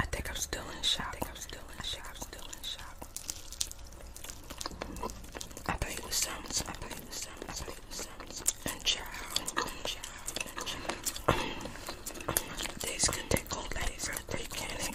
I think I'm still in shock. I think I'm still in shock. I'm still in shock. I play with sounds. I play with sounds. I play with sounds. And child. And child. And child. This can take all day for the canning.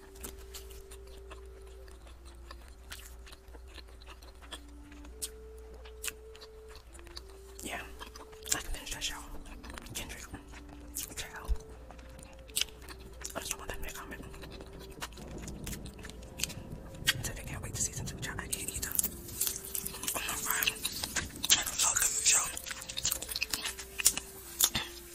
Yeah, I can finish that show. Kendrick. Child. I just want them to comment. So can't wait to see something try I can't either. Oh my god. I love the show.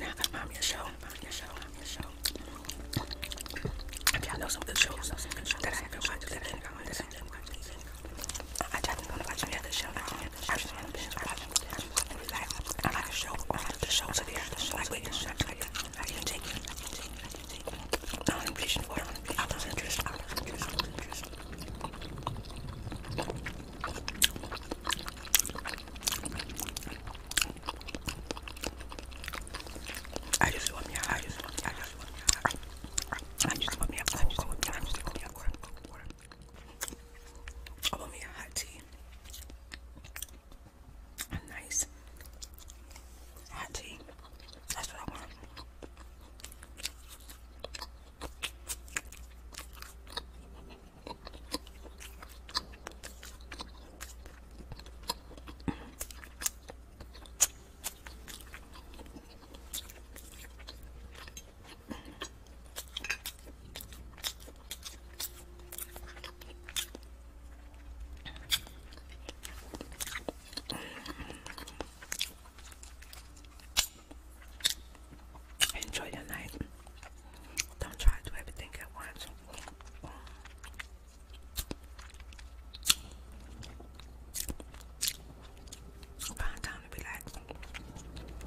Now I'm your show. I'm your If y'all know some good shows, that I haven't watched, that I haven't watched, I just want to watch any other show. I just want to watch. I just want to like, I'm like a show, I'm like the show severe, like wait, I can take it, I can take it, I can take it. I'm impatient for it, I'm not interested, I'm not interested, I'm not interested. I just want me out, I just want me out, I just want me out. I just want me out, I just want me out, I just want me out, I just want me out. I want me a hot tea. A nice hot tea. That's what I want. Enjoy your night. Don't try to everything at once. Find time to be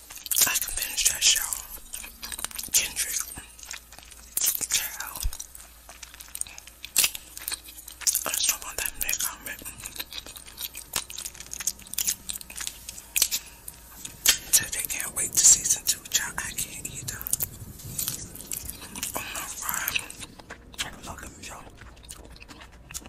I can finish that show. Kendrick. Child. I that big comment. So they can't wait to season two. Child, I can't either. Oh my god. love them, y'all.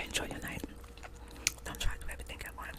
Enjoy your night. Don't try to everything at once.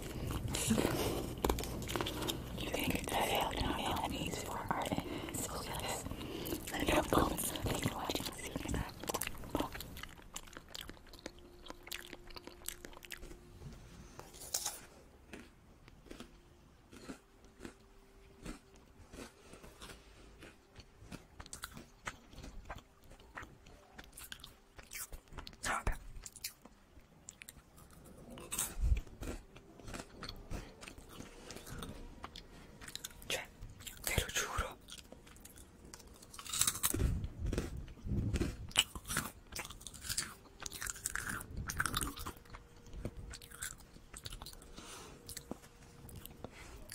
You can I have these for art so yes. Let me know bones. Thanks for watching. you Vabbè. Cioè, te lo giuro.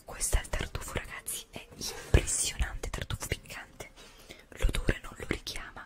Questo è il tartufo ragazzi, è impressionante, tartufo piccante. L'odore non lo richiama,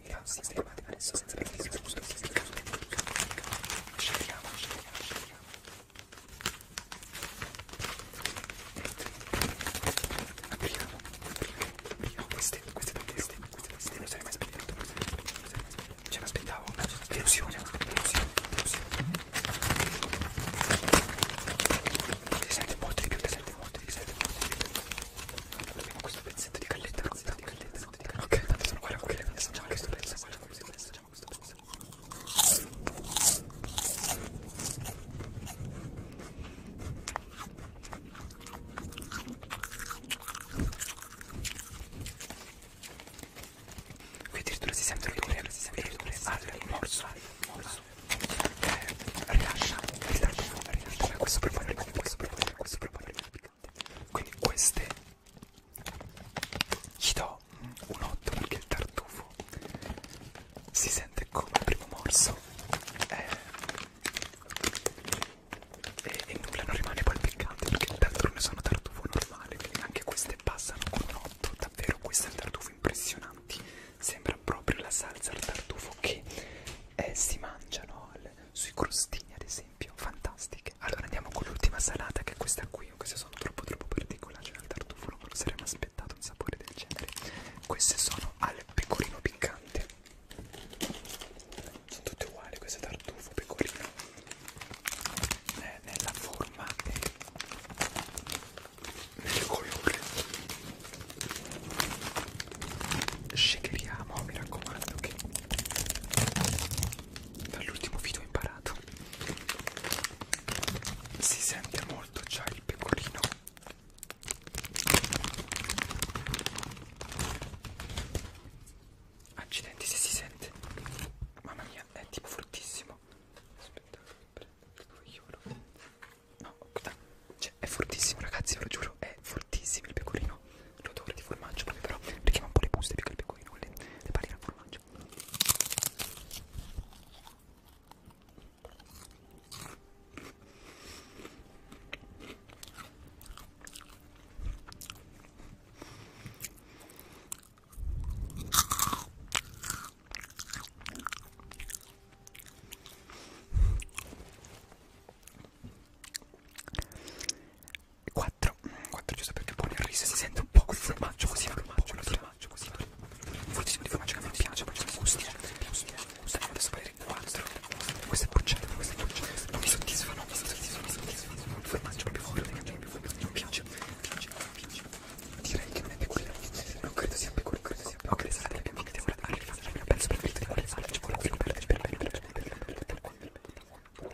adesso senza scegliamo, scegliamo, scegliamo. Apriamo, apriamo queste, queste due teste, queste teste, non sarei mai sbagliato, ce l'aspettavo, delusione, delusione, delusione. Ti sente molto di più, ti sente molto di più, ti sente molto di più. Abbiamo questo pezzetto di galletta rossa, di galletta non dicono ok, tanto sono guarda ok, facciamo questo pezzo, guarda questo pezzo, facciamo questo pezzo Qui addirittura si sente l'odore, si sente l'odore al morso, morso Rilascia, rilascia, rilascia, questo profumo, questo profumo, questo profumo lubricanti quindi queste gli do un 8 perché il tartufo si sente come il primo morso eh, e, e nulla non rimane poi piccante perché d'altronde sono tartufo normale quindi anche queste passano con un 8 davvero questo è un tartufo impressionante sembra proprio la salsa al tartufo che eh, si mangiano al, sui crostini ad esempio esempio, fantastiche. Allora andiamo con l'ultima salata che è questa qui, queste sono troppo troppo particolari, cioè al tartufo non lo saremmo aspettato un sapore del genere. Queste sono al pecorino piccante. Sono tutte uguali queste tartufo, pecorino. Eh, nella forma e nel colore. Shakeriamo, mi raccomando che Dall'ultimo video ho imparato. Si sente molto già il pecorino. Accidenti se si sente. Mamma mia, è tipo fortissimo. Aspetta, io lo... No, cioè, è fortissimo ragazzi, ve lo giuro, è fortissimo il pecorino l'odore di formaggio però richiama un po' le buste più che il pecorino con le, le palline al formaggio 4 4 giusto perché poi il riso si sente un po' quel formaggio così il formaggio così formaggio così fortissimo di formaggio che mi piace poi ci sono gusti adesso parere 4 questo è bruciato questo è bruciato non mi soddisfa non mi soddisfa non mi soddisfa il formaggio proprio forte non piace direi che non è peculiare non credo sia peculiare ok sarà la mia amica arriva il mio pezzo preferito di quale farci vuole più per per per per per per per per per per per per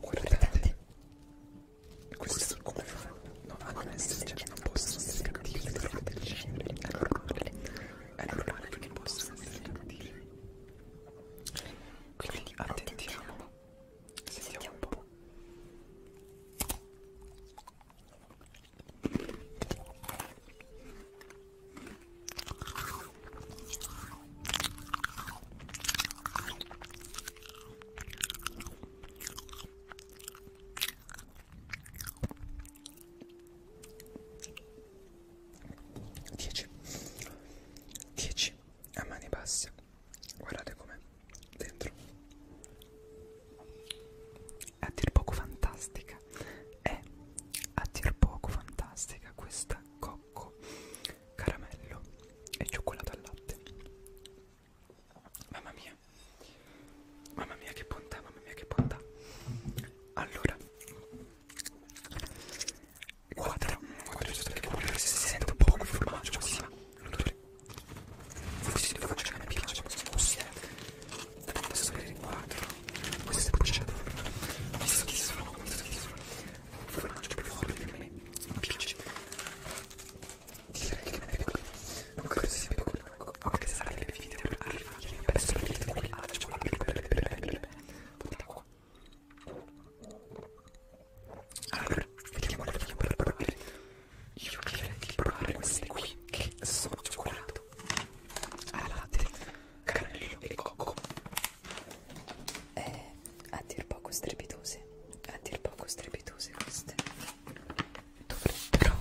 Guardate, questo come fanno? No, hanno ah, messo, cioè non possono essere cattivi, però del genere, è normale, è normale che non possono essere cattivi. Quindi attentiamo, sentiamo un po'. 10 10 a mani basse guardate com'è dentro è a dir poco fantastica è a dir poco fantastica questa coppa bianco, caramello e cioccolato al latte. Mamma mia, mamma mia che bontà, mamma mia che bontà. Allora, quadra, quadra, quadra, se si sente un po' quel formaggio così, ma l'odore, forse devo faccio che a me piace, così eh. è, adesso vedere il quadro, queste bucciate, visto chi sono, visto chi sono, formaggio più forte per me non piace direi che non è quello non credo sia più quello ok se sarai nel video per arrivare adesso il video qui alla cioccolata per prendere portate qua allora vediamo la vediamo per provare io direi di provare queste qui che sono cioccolato al latte, cannello e cocco eh, a dir poco strepitose a dir poco strepitose queste dovrebbero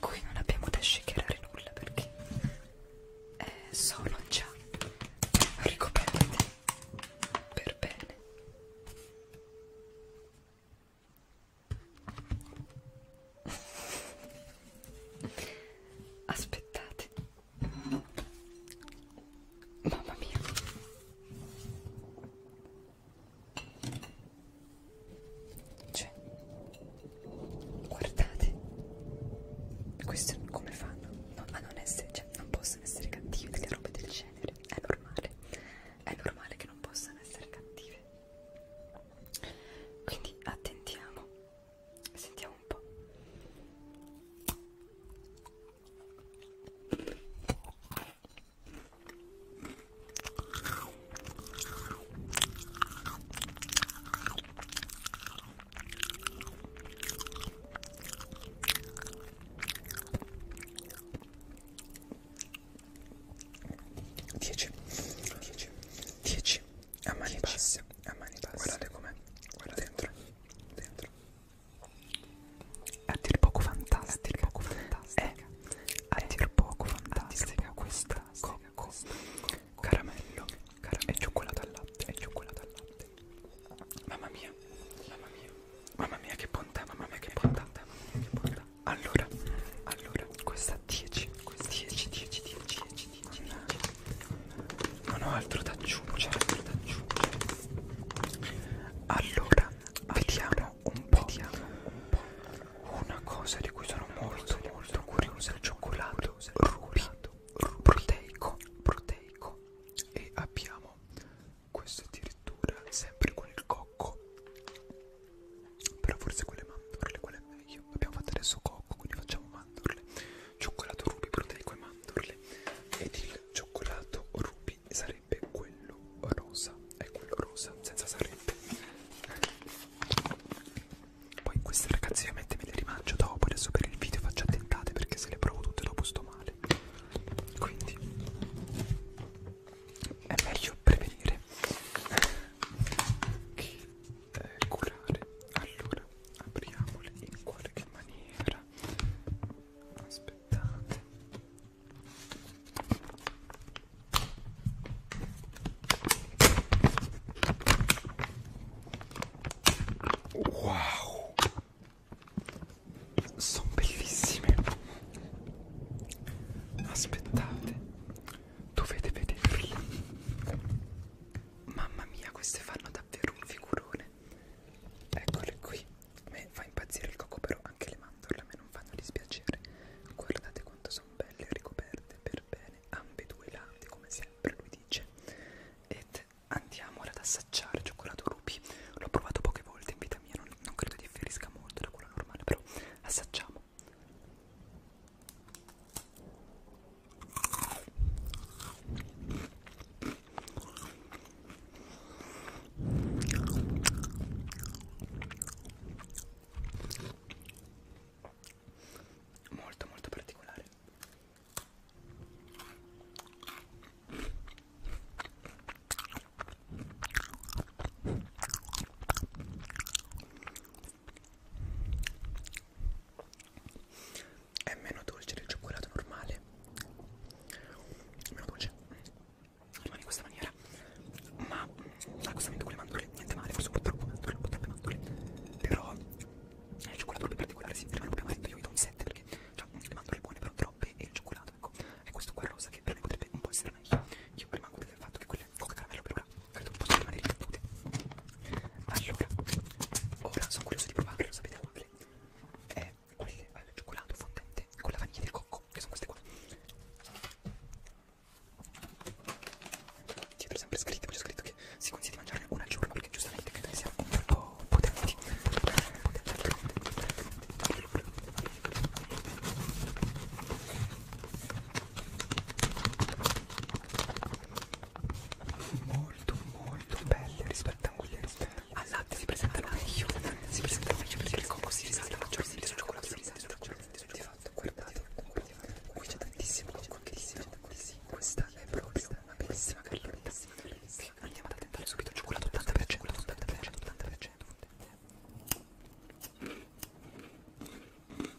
qui non abbiamo da shakerare nulla perché eh, sono già ricoperte per bene aspettate Mamma mia. Cioè, guardate. Questo è come fanno no, a non essere, cioè non possono essere cattivi delle robe del genere. È normale. È normale che non possano essere cattive. Quindi attentiamo Sentiamo un po'. Dieci, dieci, dieci a mani basse, a mani basse. Guardate com'è, guarda dentro, dentro. A dir poco fantastica, a dir poco fantastica. È, eh, eh, a dir poco fantastica questa cocco, caramello, caramello e cioccolato al latte, e cioccolato al latte. Mamma mia, mamma mia, mamma mia che bontà, mamma mia che bontà, mamma mia che bontà. Allora, allora, questa 10, questa 10, 10, 10, 10, non, non ho altro da aggiungere, altro da aggiungere. Allora, vediamo un po', vediamo un po'. Una cosa di cui sono molto molto curiosa, il cioccolato rubi, proteico, proteico. E abbiamo questo addirittura sempre con il cocco. Però forse quelle mandorle, quelle è meglio. Abbiamo fatto adesso cocco, quindi facciamo mandorle, cioccolato ruby proteico e mandorle ed il cioccolato ruby sarebbe quello rosa, è quello rosa senza sarebbe. Poi queste ragazzi ovviamente me le rimangio dopo, adesso per il video faccio attentate perché se le provo tutte dopo sto male. Quindi è meglio prevenire che eh, curare allora apriamole in qualche maniera aspettate wow sono bellissime aspettate dovete vederle Mamma mia, queste fanno davvero un figurone. Eccole qui. A me fa impazzire il cocco, però anche le mandorle a me non fanno dispiacere. Guardate quanto sono belle ricoperte per bene ambedue i lati, come sempre lui dice. Ed andiamo ad assaggiare cioccolato ruby. L'ho provato poche volte in vita mia, non, non credo differisca molto da quello normale, però assaggiamo molto molto particolare è meno dolce del cioccolato normale meno dolce rimane in questa maniera ma l'accostamento ah, con le mandorle niente male forse un po' troppo mandorle un po' troppe mandorle però eh, il cioccolato proprio particolare si rimane proprio amaretto io gli do un 7 perché cioè, le mandorle buone però troppe e il cioccolato ecco è questo qua rosa che per me potrebbe un po' essere meglio io rimango del fatto che quelle coca caramello per ora credo possa rimanere in salute allora ora sono curioso di provarlo sapete quale è quelle al cioccolato fondente con la vaniglia del cocco che sono queste qua dietro sempre scritte poi c'è scritto che si consiglia di mangiarne una al giorno perché giustamente credo che siano un po' potenti allora molto molto belle rispetto a quelle al latte si presentano meglio si presentano meglio perché il cocco si risale maggiormente sul cioccolato si risale maggiormente sul cioccolato guardate qui c'è tantissimo tantissimo tantissimo questa è proprio una bellissima carlolina andiamo ad attentare subito cioccolato 80% 80% 80%